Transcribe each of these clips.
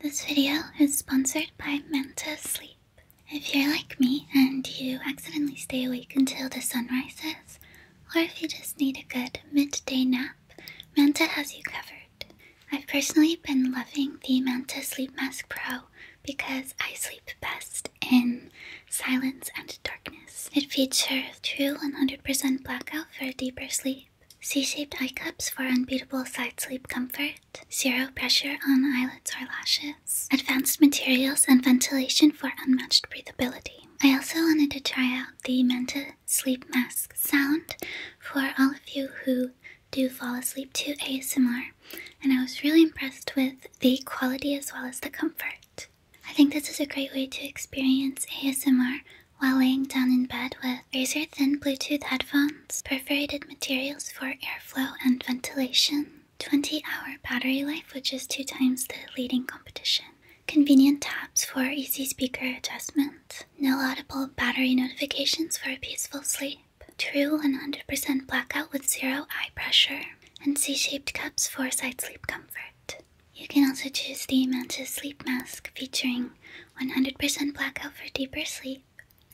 This video is sponsored by Manta Sleep. If you're like me and you accidentally stay awake until the sun rises, or if you just need a good midday nap, Manta has you covered. I've personally been loving the Manta Sleep Mask Pro because I sleep best in silence and darkness. It features true 100% blackout for a deeper sleep C-shaped eye cups for unbeatable side sleep comfort. Zero pressure on eyelids or lashes. Advanced materials and ventilation for unmatched breathability. I also wanted to try out the Manta Sleep Mask sound for all of you who do fall asleep to ASMR, and I was really impressed with the quality as well as the comfort. I think this is a great way to experience ASMR while laying down in bed with razor thin Bluetooth headphones perforated materials for airflow and ventilation, 20 hour battery life, which is two times the leading competition, convenient tabs for easy speaker adjustment, no audible battery notifications for a peaceful sleep, true 100% blackout with zero eye pressure, and C shaped cups for side sleep comfort. You can also choose the Mantis Sleep Mask featuring 100% blackout for deeper sleep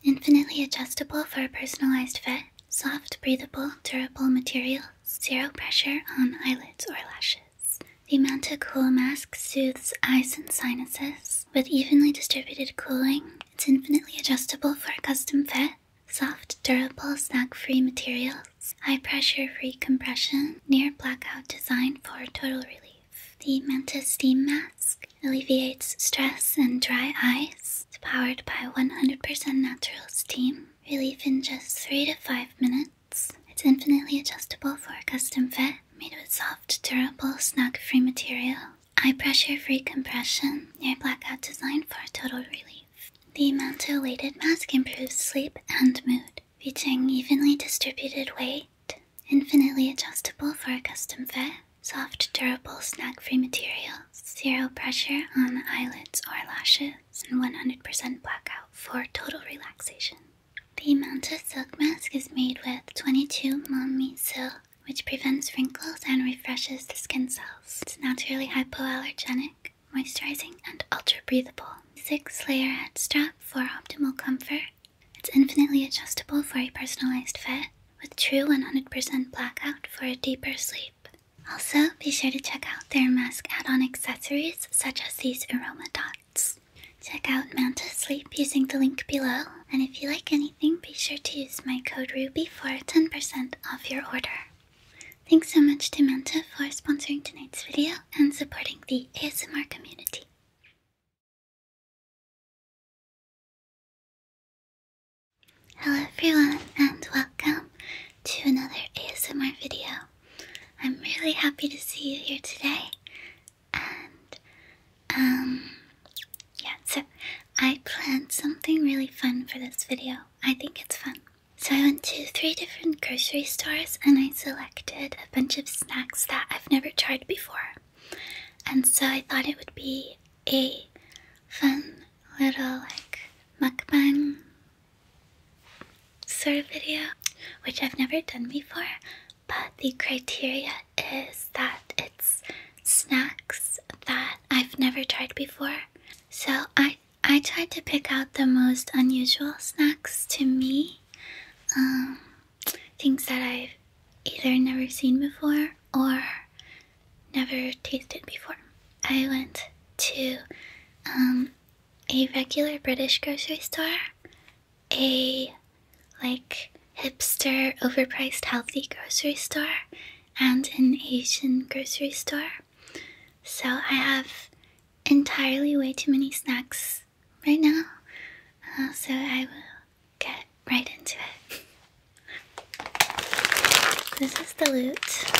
infinitely adjustable for a personalized fit, soft, breathable, durable material. zero pressure on eyelids or lashes. The Manta Cool Mask soothes eyes and sinuses with evenly distributed cooling. It's infinitely adjustable for a custom fit. Soft, durable, snag-free materials, high-pressure-free compression, near blackout design for total relief the Mantis Steam Mask alleviates stress and dry eyes. powered by 100% natural steam. Relief in just 3 to 5 minutes. It's infinitely adjustable for a custom fit, made with soft, durable, snug free material. High pressure-free compression, near blackout design for total relief. The manto-weighted mask improves sleep and mood, reaching evenly distributed weight Infinitely adjustable for a custom fit. Soft, durable, snag free material. Zero pressure on the eyelids or lashes. And 100% blackout for total relaxation. The Manta Silk Mask is made with 22 Mommy Silk, which prevents wrinkles and refreshes the skin cells. naturally hypoallergenic, moisturizing, and ultra breathable. Six layer head strap for optimal comfort it's infinitely adjustable for a personalized fit, with true 100% blackout for a deeper sleep. Also, be sure to check out their mask add on accessories such as these aroma dots. Check out Manta Sleep using the link below, and if you like anything, be sure to use my code RUBY for 10% off your order. Thanks so much to Manta for sponsoring tonight's video and supporting the ASMR community. Hello everyone and welcome to another ASMR video. I'm really happy to see you here today and um yeah so I planned something really fun for this video. I think it's fun. So I went to three different grocery stores and I selected a bunch of snacks that I've never tried before and so I thought it would be a fun little like mukbang sort of video, which I've never done before. But the criteria is that it's snacks that I've never tried before. So I I tried to pick out the most unusual snacks to me. Um, things that I've either never seen before or never tasted before. I went to um, a regular British grocery store, a like hipster, overpriced, healthy grocery store, and an Asian grocery store. So I have entirely way too many snacks right now. Uh, so I will get right into it. This is the loot.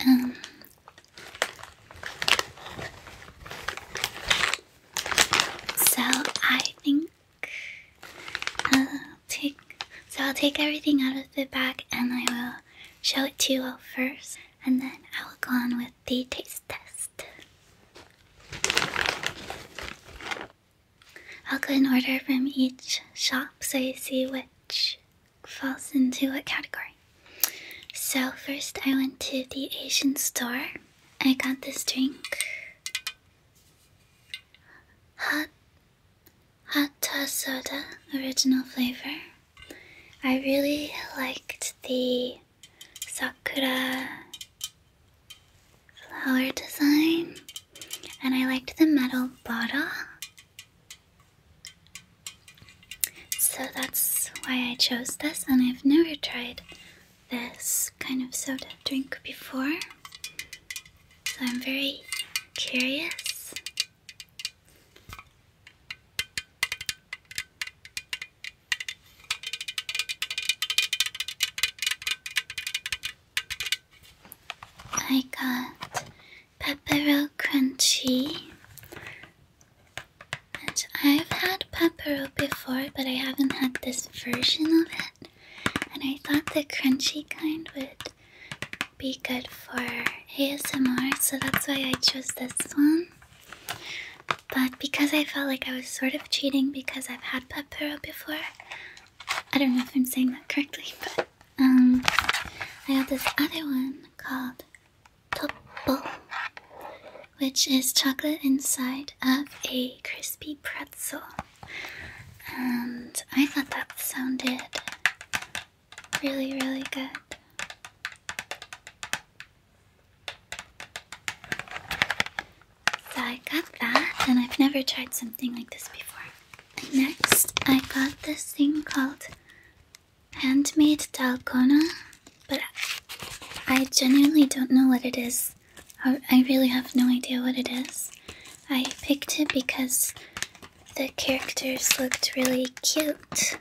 Um, so I think i uh, take so I'll take everything out of the bag and I will show it to you first, and then I will go on with the taste test. I'll go in order from each shop so you see which falls into what category. So, first I went to the Asian store. I got this drink. Hot hot soda original flavor. I really liked the sakura flower design and I liked the metal bottle. So that's why I chose this and I've never tried this kind of soda drink before. So I'm very curious I got Peppero Crunchy. And I've had Peppero before, but I haven't had this version of it. And I thought the crunchy kind would be good for ASMR, so that's why I chose this one. But because I felt like I was sort of cheating because I've had Pet before, I don't know if I'm saying that correctly, but um, I have this other one called Topo, which is chocolate inside of a crispy pretzel. And I thought that sounded really, really good. So I got that, and I've never tried something like this before. next, I got this thing called Handmade talcona, but I genuinely don't know what it is. I really have no idea what it is. I picked it because the characters looked really cute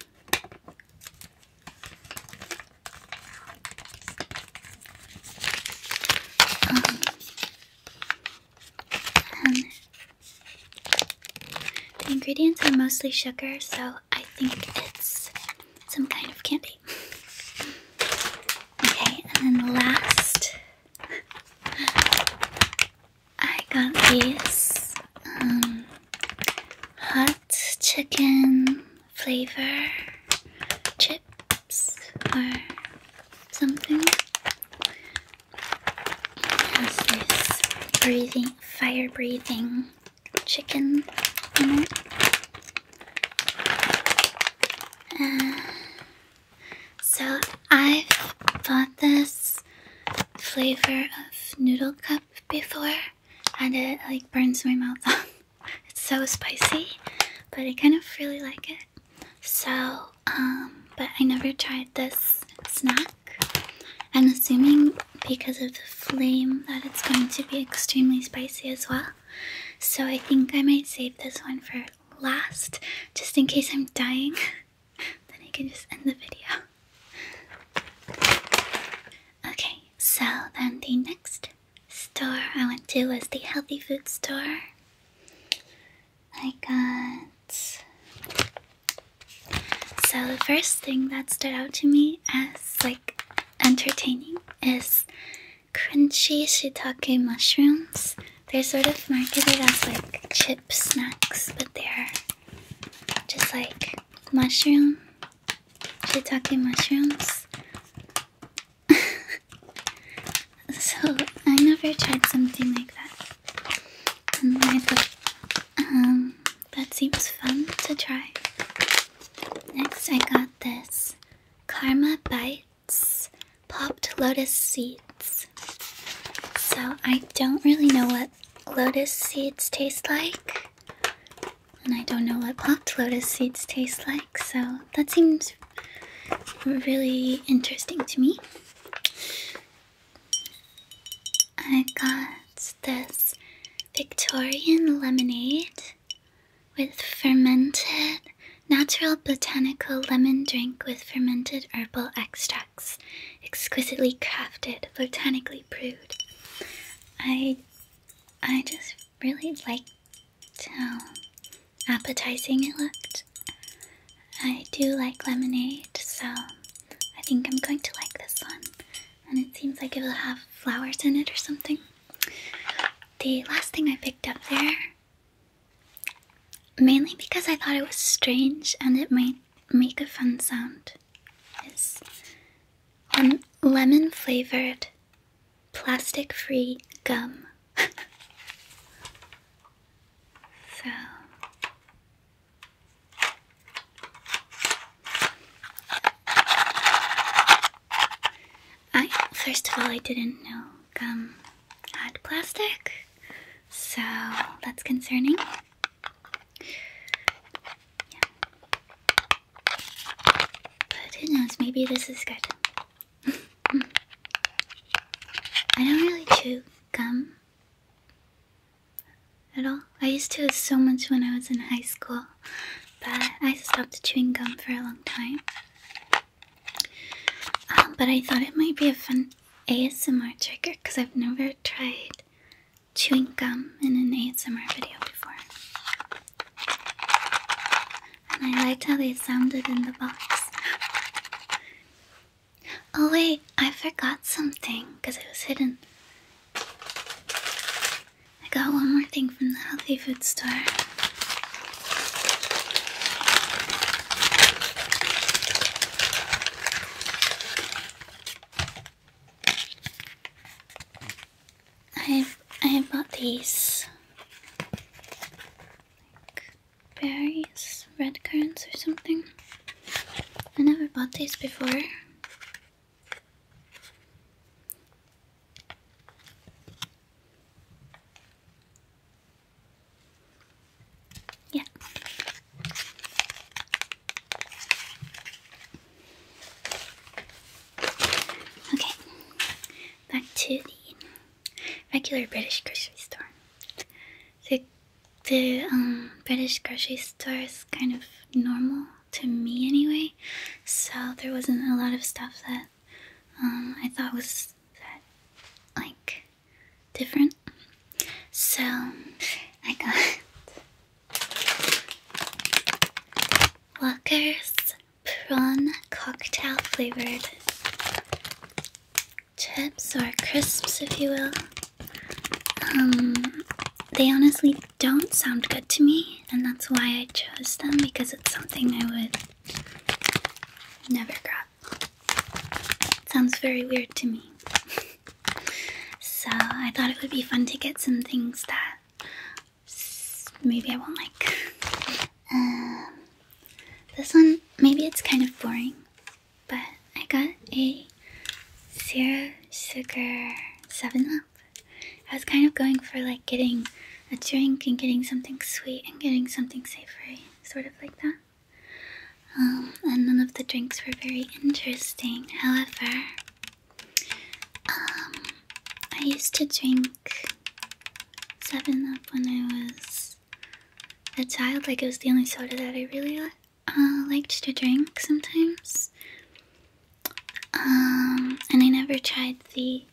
the ingredients are mostly sugar, so I think it's some kind of candy. Okay, and then last I got this um, hot chicken flavor chips or something. has this breathing, fire breathing chicken in it. Uh, so i bought this flavor of noodle cup before and it like burns my mouth it's so spicy, but I kind of really like it. So, um, but I never tried this snack. I'm assuming because of the flame that it's going to be extremely spicy as well. So I think I might save this one for last, just in case I'm dying. then I can just end the video. Okay, so then the next store I went to was the healthy food store. I got. So the first thing that stood out to me as like entertaining is crunchy shiitake mushrooms. They're sort of marketed as like chip snacks, but they're just like mushroom, shiitake mushrooms. so I never tried something like that, um, that seems fun to try. Next, I got this Karma Bites Popped Lotus Seeds. So I don't really know what lotus seeds taste like. And I don't know what popped lotus seeds taste like, so that seems really interesting to me. I got this Victorian lemonade with fermented natural botanical lemon drink with fermented herbal extracts exquisitely crafted, botanically brewed. I, I just really liked how appetizing it looked. I do like lemonade, so I think I'm going to like this one. And it seems like it'll have flowers in it or something. The last thing I picked up there, mainly because I thought it was strange and it might make a fun sound is um, lemon flavored plastic free gum. so I first of all I didn't know gum had plastic. So that's concerning. Yeah. But who knows, maybe this is good. I don't really chew gum at all. I used to so much when I was in high school, but I stopped chewing gum for a long time. Um, but I thought it might be a fun ASMR trigger because I've never tried chewing gum in an ASMR video before. And I liked how they sounded in the box. oh, wait, I forgot something because it was hidden. I got one more thing from the healthy food store. I I bought these berries, red currants or something. I never bought these before. Yeah. Okay, back to the regular British grocery store. The, the um, British grocery store is kind of normal to me anyway, so there wasn't a lot of stuff that um, I thought was that like different. So I got Walker's prawn cocktail flavored chips or crisps, if you will. Um, they honestly don't sound good to me, and that's why I chose them because it's something I would never grab. sounds very weird to me. So I thought it would be fun to get some things that maybe I won't like. Um, this one, maybe it's kind of boring, but I got a zero sugar 7 up. I was kind of going for like getting a drink and getting something sweet and getting something savory, sort of like that. Um, and none of the drinks were very interesting. However, um, I used to drink 7 Up when I was a child. Like, it was the only soda that I really uh, liked to drink sometimes. Um, and I never tried the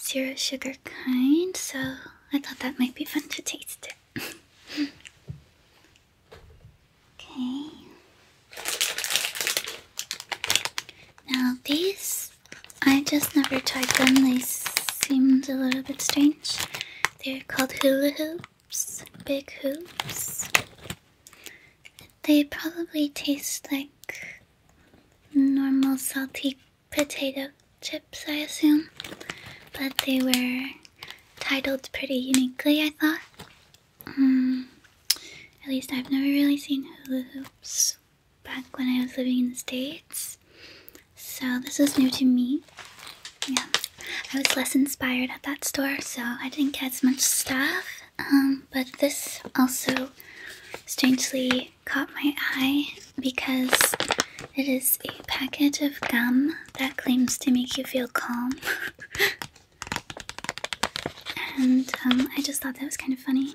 zero sugar kind, so I thought that might be fun to taste it. Okay. Now these, I just never tried them. They seemed a little bit strange. They're called hula hoops, big hoops. They probably taste like normal salty potato chips, I assume. But they were titled pretty uniquely, I thought. Hmm. at least I've never really seen hula hoops back when I was living in the States. So this was new to me. Yeah. I was less inspired at that store, so I didn't get as much stuff. Um, but this also strangely caught my eye because it is a packet of gum that claims to make you feel calm. And um, I just thought that was kind of funny.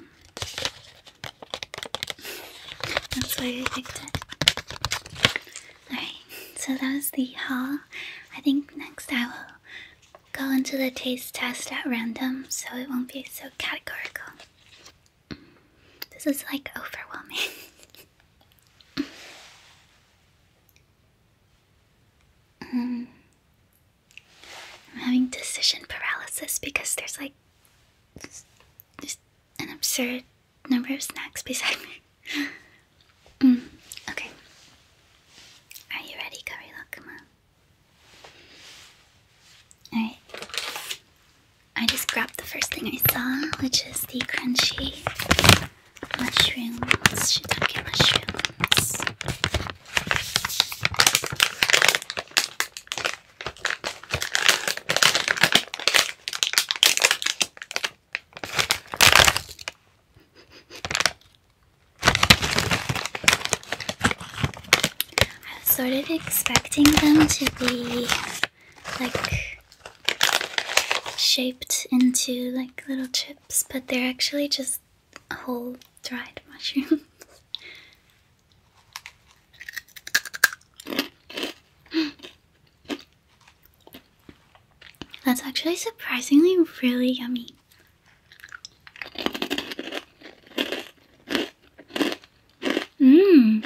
That's why I picked it. Alright, so that was the haul. I think next I will go into the taste test at random so it won't be so categorical. This is like overwhelming. I'm having decision paralysis because there's like there's an absurd number of snacks beside me. Mm, okay. Are you ready, Karilakuma? Alright. I just grabbed the first thing I saw, which is the crunchy mushrooms, shiitake mushrooms. I was sort of expecting them to be like shaped into like little chips, but they're actually just whole dried mushrooms. That's actually surprisingly really yummy. Mmm.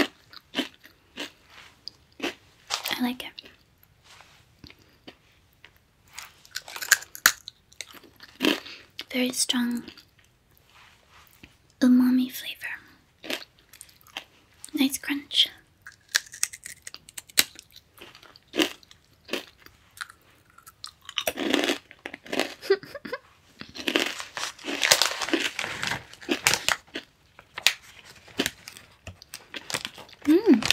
I like it. Very strong umami flavor. Nice crunch. Mmm.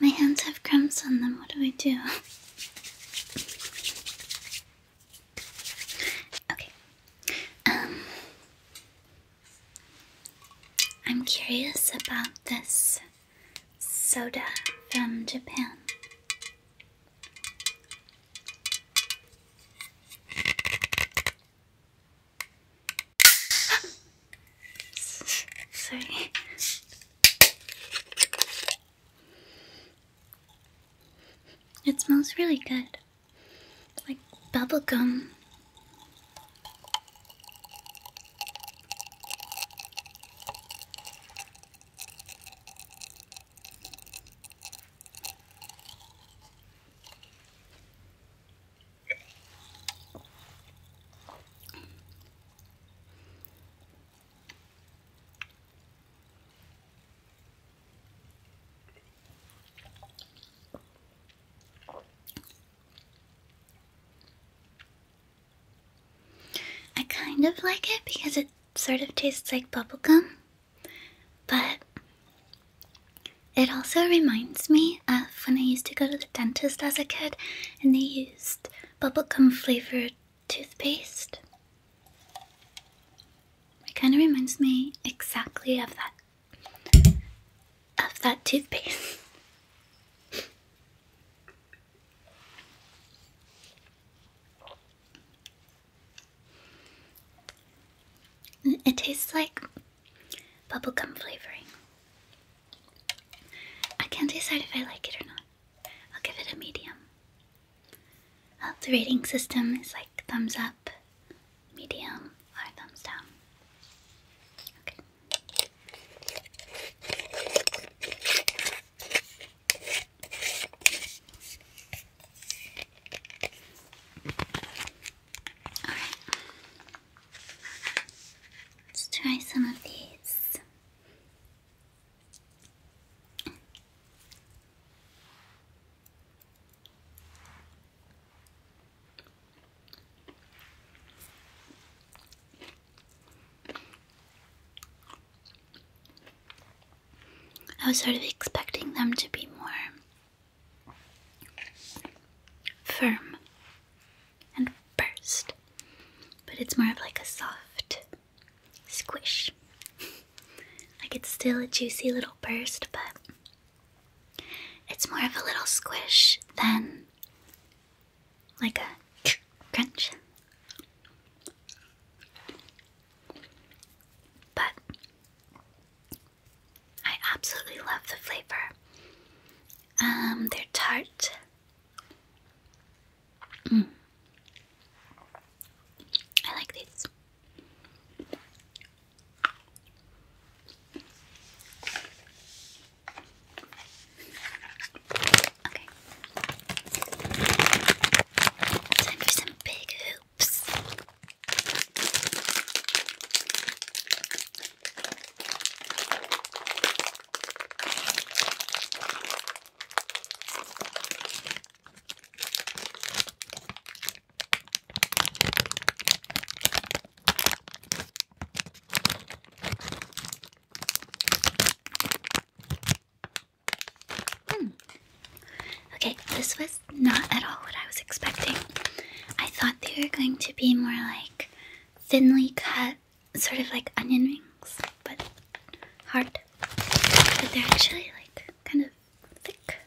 My hands have crumbs on them. What do I do? okay. Um, I'm curious about this soda from Japan. Sorry. It smells really good. Like bubble gum. I kind of like it because it sort of tastes like bubblegum, but it also reminds me of when I used to go to the dentist as a kid and they used bubblegum flavored toothpaste. It kind of reminds me exactly of that of that toothpaste. it tastes like bubblegum flavoring. I can't decide if I like it or not. I'll give it a medium. Uh, the rating system is like thumbs up, medium, or thumbs down. Okay. Alright. Let's try some of these. I was sort of expecting them to be more firm and burst, but it's more of like a soft squish. like it's still a juicy little burst, but it's more of a little squish than like a crunch. But I absolutely love the flavor. Um, they're tart. Mm. I like these. Okay. Time for some big hoop. Hmm. Okay, this was not at all what I was expecting. I thought they were going to be more like thinly cut, sort of like onion rings, but hard. But they're actually like kind of thick.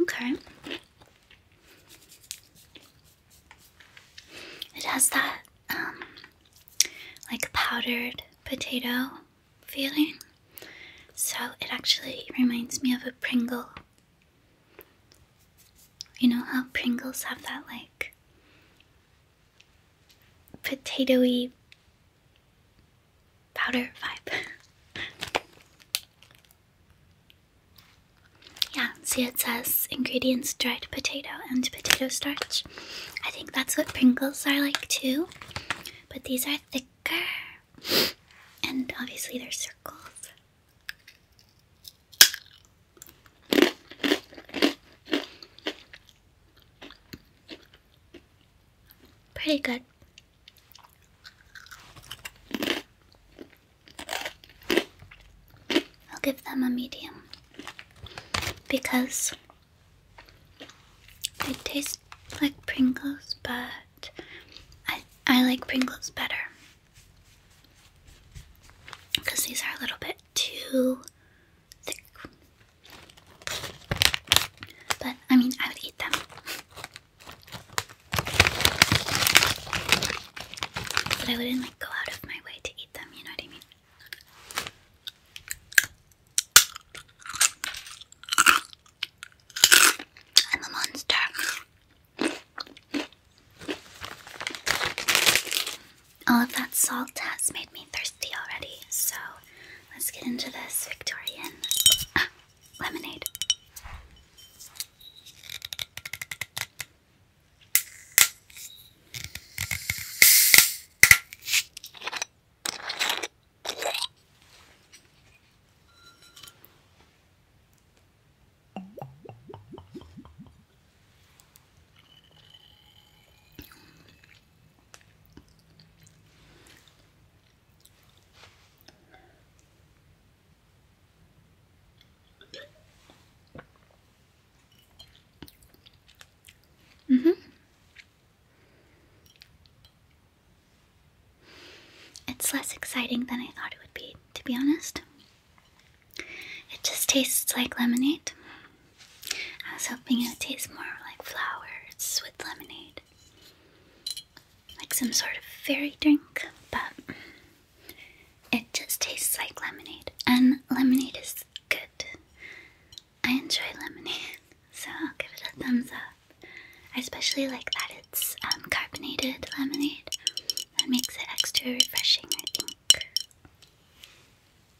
Okay. It has that um like powdered potato feeling. So it actually reminds me of a Pringle. You know how Pringles have that like potatoy powder vibe. yeah, see it says ingredients dried potato and potato starch. I think that's what Pringles are like too, but these are thicker and obviously they're circles. Pretty good. I'll give them a medium because they taste like Pringles, but I, I like Pringles better because these are a little bit too but I mean, I would eat them. But I wouldn't like go out of my way to eat them, you know what I mean? I'm a monster. All of that salt has made me thirsty already, so Let's get into this Victorian lemonade. Mm-hmm. It's less exciting than I thought it would be, to be honest. It just tastes like lemonade. I was hoping it would taste more like flowers with lemonade. Like some sort of fairy drink, but it just tastes like lemonade. And lemonade is good. I enjoy lemonade, so I'll give it a thumbs up. I especially like that it's um, carbonated lemonade. That makes it extra refreshing, I think.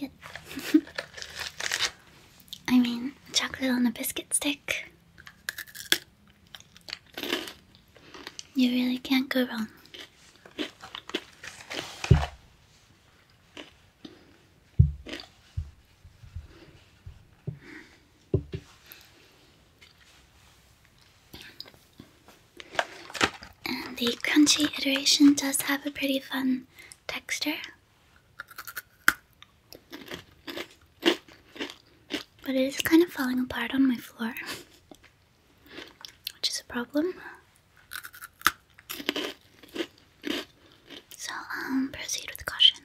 Good. I mean, chocolate on a biscuit stick. You really can't go wrong the crunchy iteration does have a pretty fun texture. But it is kind of falling apart on my floor, which is a problem. So, um, proceed with caution.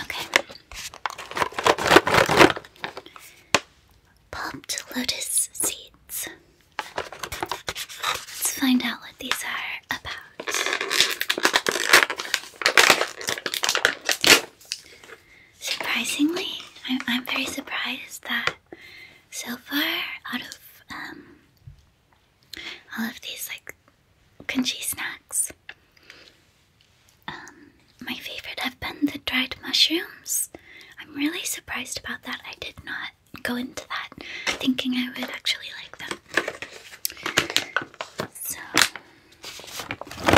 okay. Popped lotus seeds. Let's find out what these are about. Surprisingly, I'm, I'm very surprised that so far, out of um, all of these like crunchy snacks, um, my favorite have been the dried mushrooms. I'm really surprised about that. I did not go into that thinking I would actually like them. So Alright.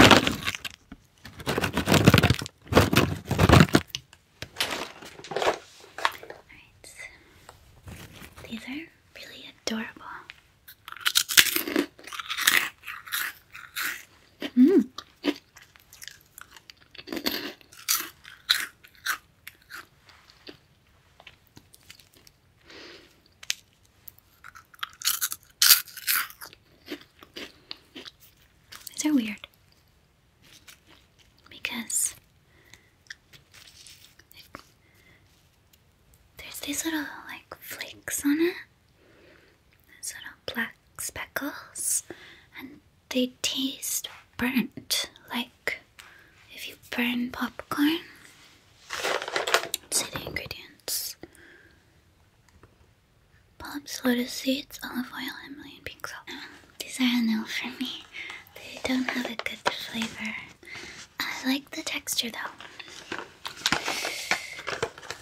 These are really adorable. Mm. These are weird because there's these little like flakes on it, these little black speckles, and they taste burnt like if you burn popcorn see the ingredients. Bulbs, lotus seeds, olive oil, Himalayan pink salt. these are a no for me. They don't have a good flavor. I like the texture though.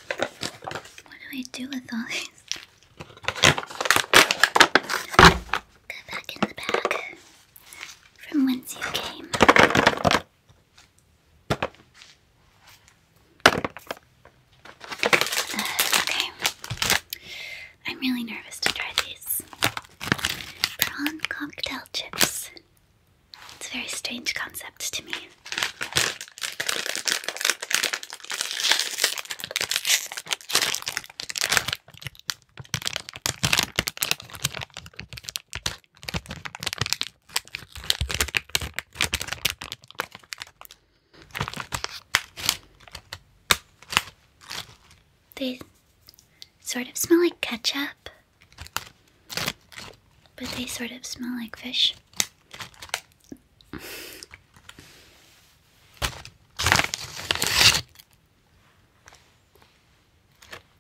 What do I do with all these? Go back in the bag from whence you came. Okay. I'm really nervous to try these. Prawn cocktail chips. It's a very strange concept to me. They sort of smell like ketchup, but they sort of smell like fish.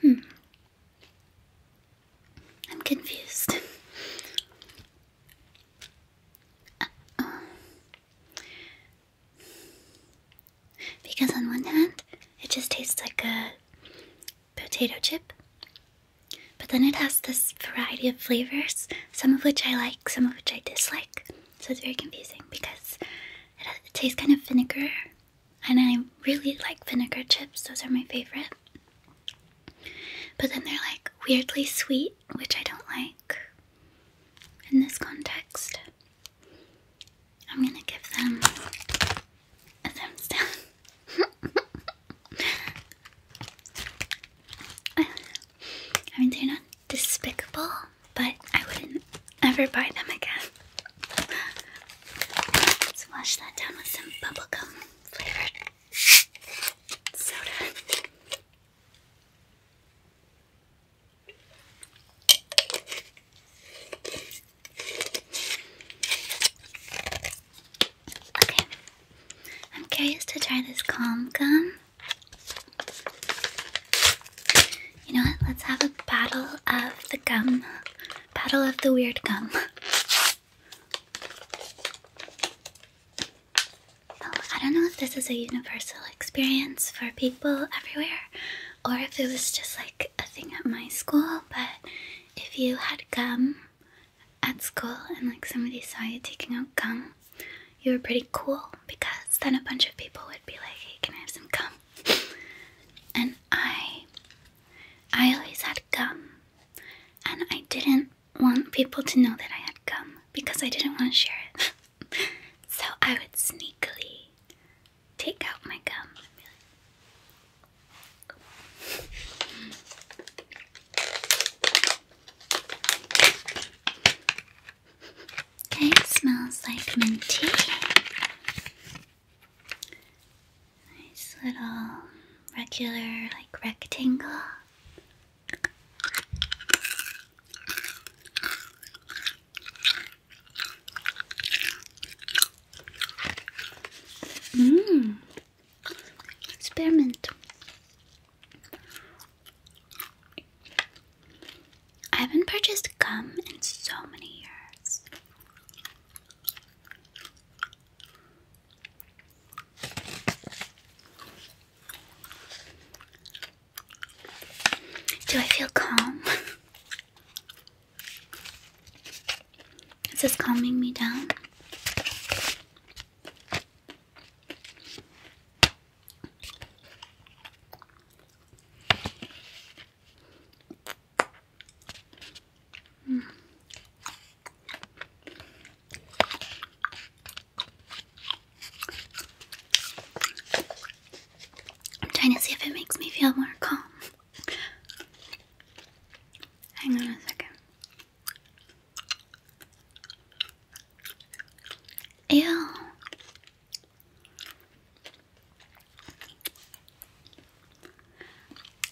Hmm. I'm confused. Because on one hand, it just tastes like a potato chip, but then it has this variety of flavors, some of which I like, some of which I dislike. So it's very confusing because it, tastes kind of vinegar, and I really like vinegar chips, those are my favorite. But then they're like weirdly sweet, which I don't like in this context. I'm gonna give them a thumbs down. I mean, they're not despicable, but I wouldn't ever buy them again. Let's wash that down with some bubblegum flavored soda. Okay. I'm curious to try this calm gum. You know what? Let's have a battle of the gum. Battle of the weird gum. Oh, I don't know if this is a universal experience for people everywhere or if it was just like a thing at my school, but if you had gum at school and like somebody saw you taking out gum, you were pretty cool because then a bunch of people would be like, "Hey, can I have some gum?" and I, I always had gum, and I didn't want people to know that I had gum because I didn't want to share it. so I would sneakily take out my gum. Okay, smells like minty. Nice little regular, like rectangle. Mmm, Experiment. I haven't purchased gum in so many years. Do I feel calm? Is this calming me down? I'm trying to see if it makes me feel more calm. Hang on a second. Ew.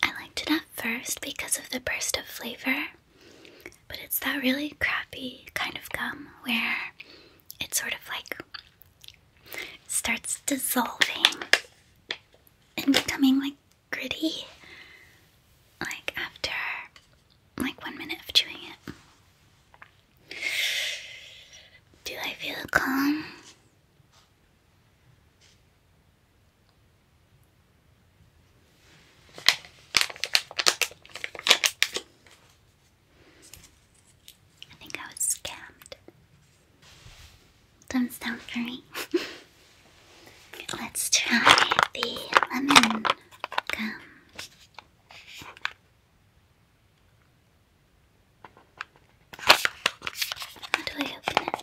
I liked it at first because of the burst of flavor, but it's that really crappy kind of gum where it sort of like starts dissolving and becoming like gritty like after like one minute of chewing it. Do I feel calm? I think I was scammed. Thumbs down for me. Let's try the lemon gum. How do I open it?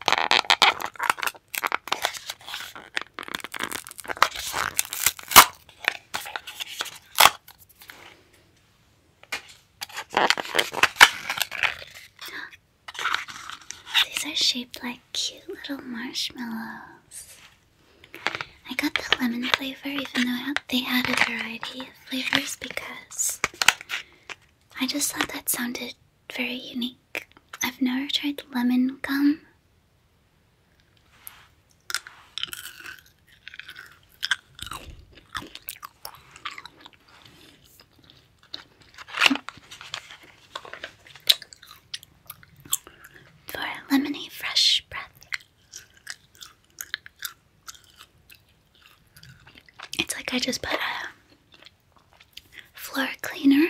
These are shaped like cute little marshmallows. I got the lemon flavor even though they had a variety of flavors because I just thought that sounded very unique. I've never tried lemon gum for a lemony fresh breath. It's like I just put a floor cleaner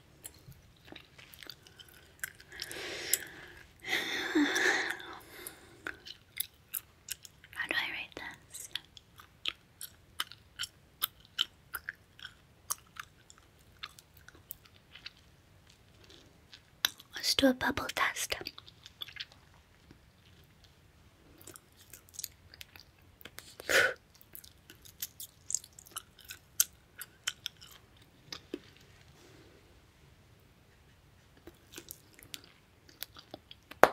How do I write this? Let's do a bubble test. I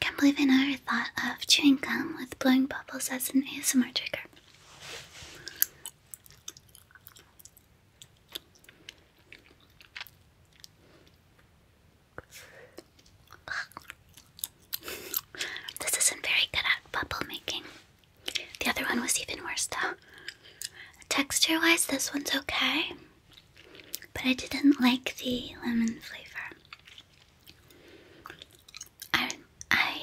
can't believe I never thought of chewing gum with blowing bubbles as an ASMR trigger this isn't very good at bubble making. The other one was even worse though. Texture wise, this one's okay, but I didn't like the lemon flavor. I I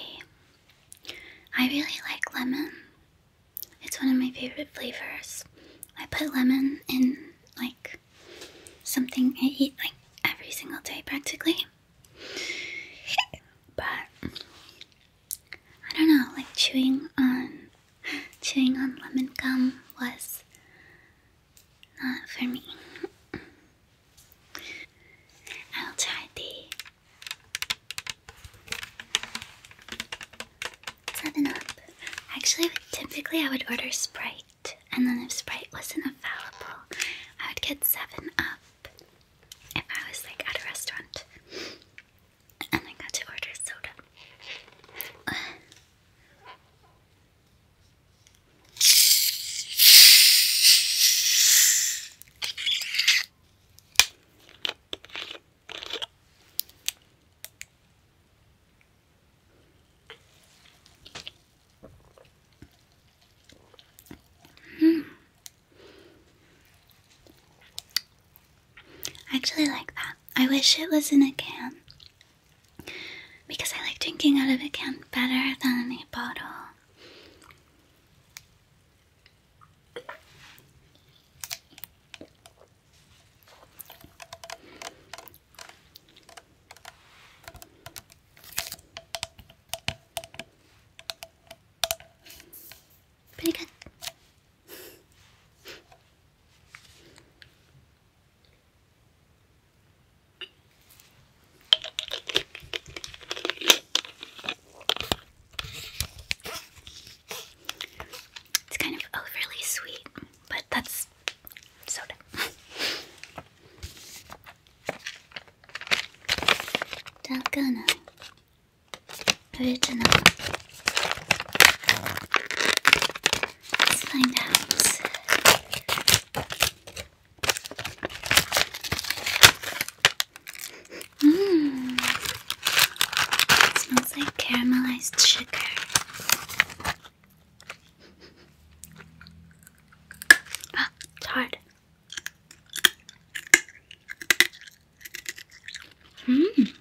I really like lemon. It's one of my favorite flavors. I put lemon in like something I eat like every single day practically. But I don't know, like chewing on chewing on lemon gum was not for me. I'll try the Seven Up. Actually, typically I would order Sprite, and then if Sprite wasn't available, I would get 7 Up if I was like at a restaurant and I got to order soda. Mm. I actually like that. I wish it was in a can because I like drinking out of a can better than a bottle. Pretty good. It's kind of overly sweet, but that's soda. Dalgona original. Let's find out. Mmm, smells like caramelized sugar. Ah, it's hard. Mm.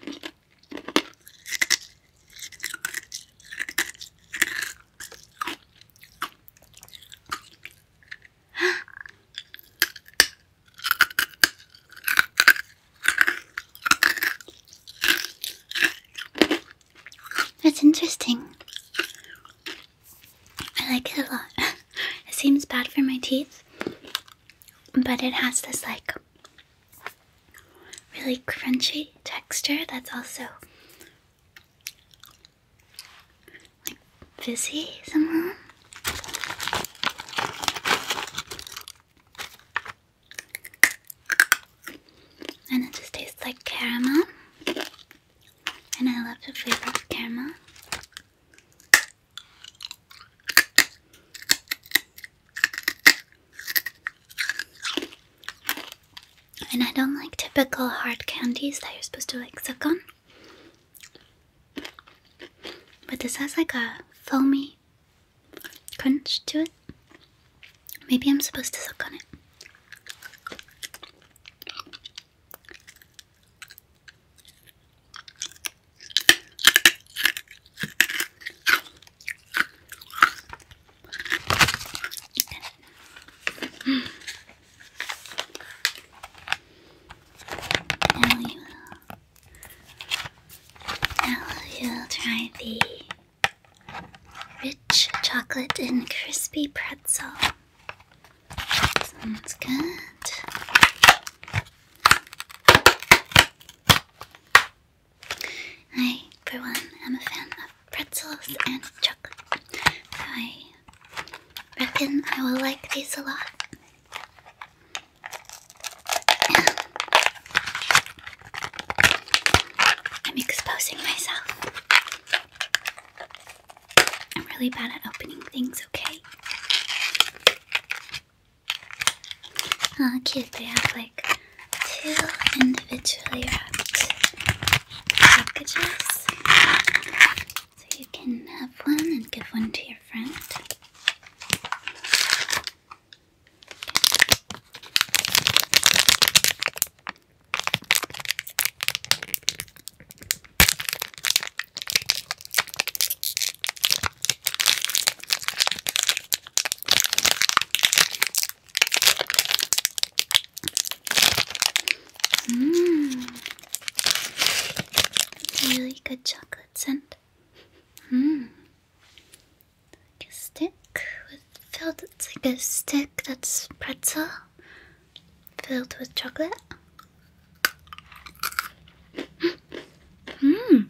That's interesting. I like it a lot. it seems bad for my teeth, but it has this like really crunchy texture that's also like fizzy somehow. And it just tastes like caramel and I love the flavor of caramel. And I don't like typical hard candies that you're supposed to like suck on. But this has like a foamy crunch to it. Maybe I'm supposed to suck on it. Now you will, try the rich chocolate and crispy pretzel. Sounds good. I, for one, am a fan of pretzels and chocolate. I reckon I will like these a lot. I'm exposing myself. I'm really bad at opening things, okay? Ah, They have like two individually wrapped packages. So you can have one and give one to your friend. Mmm. Really good chocolate scent. Mmm. Like a stick filled it's like a stick that's pretzel filled with chocolate. Mm.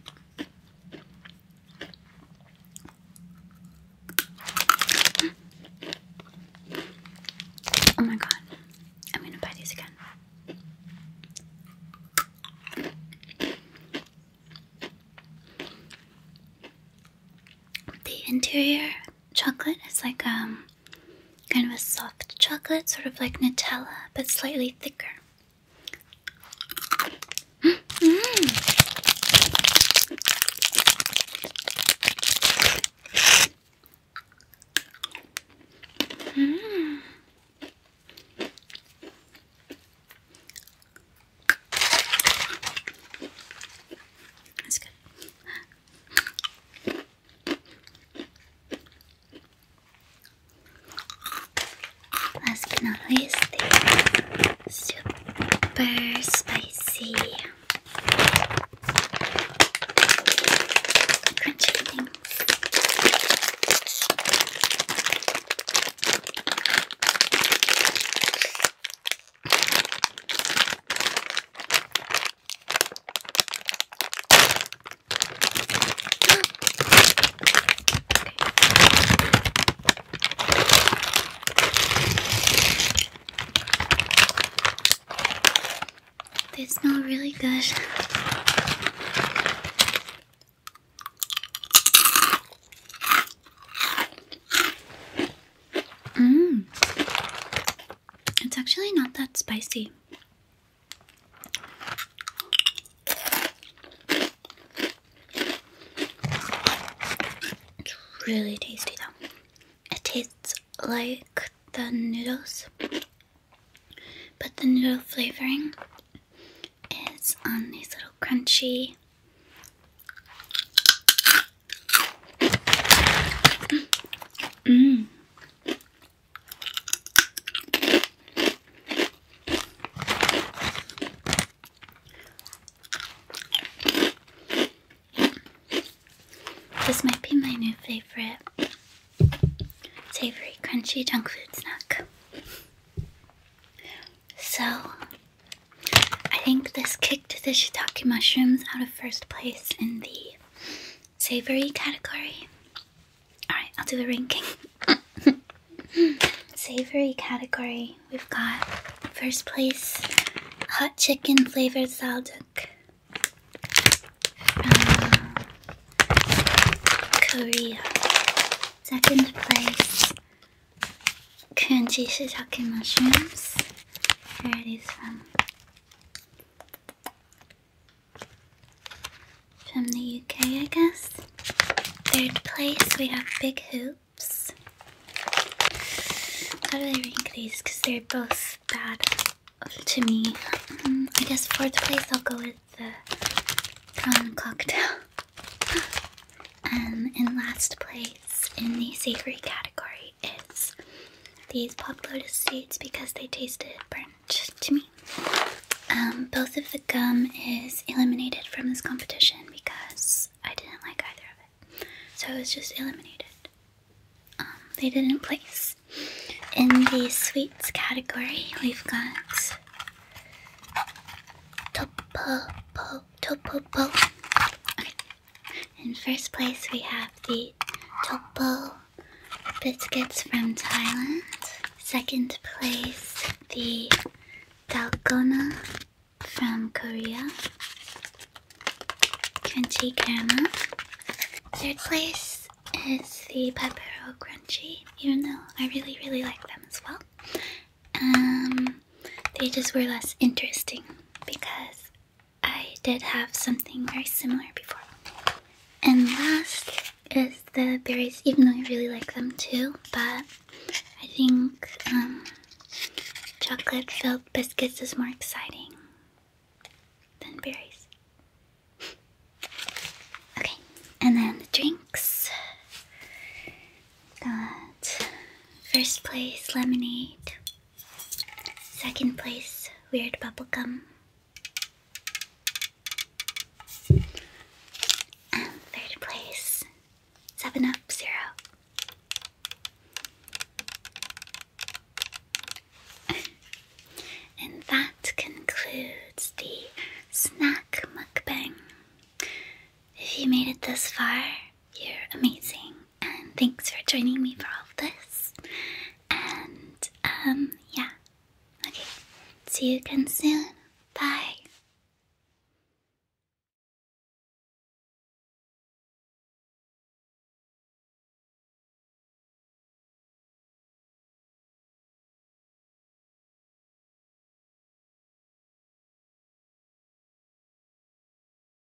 Oh my god. I'm gonna buy these again. The interior chocolate. is like um, kind of a soft chocolate, sort of like Nutella, but slightly thicker. That's mm-hmm. mm. good. Last but not least, the super spicy crunchy things. They smell really good. Mmm. It's actually not that spicy. It's really tasty though. It tastes like the noodles, but the noodle flavoring is on these little crunchy this might be my new favorite savory crunchy junk food snack. So, I think this kicked the shiitake mushrooms out of first place in the savory category. Alright, I'll do the ranking. savory category, we've got first place hot chicken flavored salduk from um, Korea. Second place crunchy shiitake mushrooms. Where are from? From the UK, I guess. Third place, we have Big Hoops. How do I rank these? Because they're both bad to me. Mm, I guess fourth place, I'll go with the prawn cocktail. And in last place, in the savory category, it's these pop lotus seeds because they tasted burnt to me. Um, both of the gum is eliminated from this competition because I didn't like either of it. So it was just eliminated. Um, they didn't place. In the sweets category, we've got Topopo. Topopo. Okay, in first place, we have the Topo biscuits from Thailand. Second place, the Dalgona from Korea. Crunchy caramel. Third place is the Peppero Crunchy, even though I really, really like them as well. Um, they just were less interesting because I did have something very similar before. And last is the berries, even though I really like them too, but I think um, chocolate filled biscuits is more exciting than berries. Okay, and then the drinks. Got first place lemonade, Second place, Weird bubble gum. third place, 7 Up Zero. and that concludes the snack mukbang. If you made it this far, you're amazing, and thanks for joining me for all of this. And, um, yeah. Okay, see you again soon. Bye.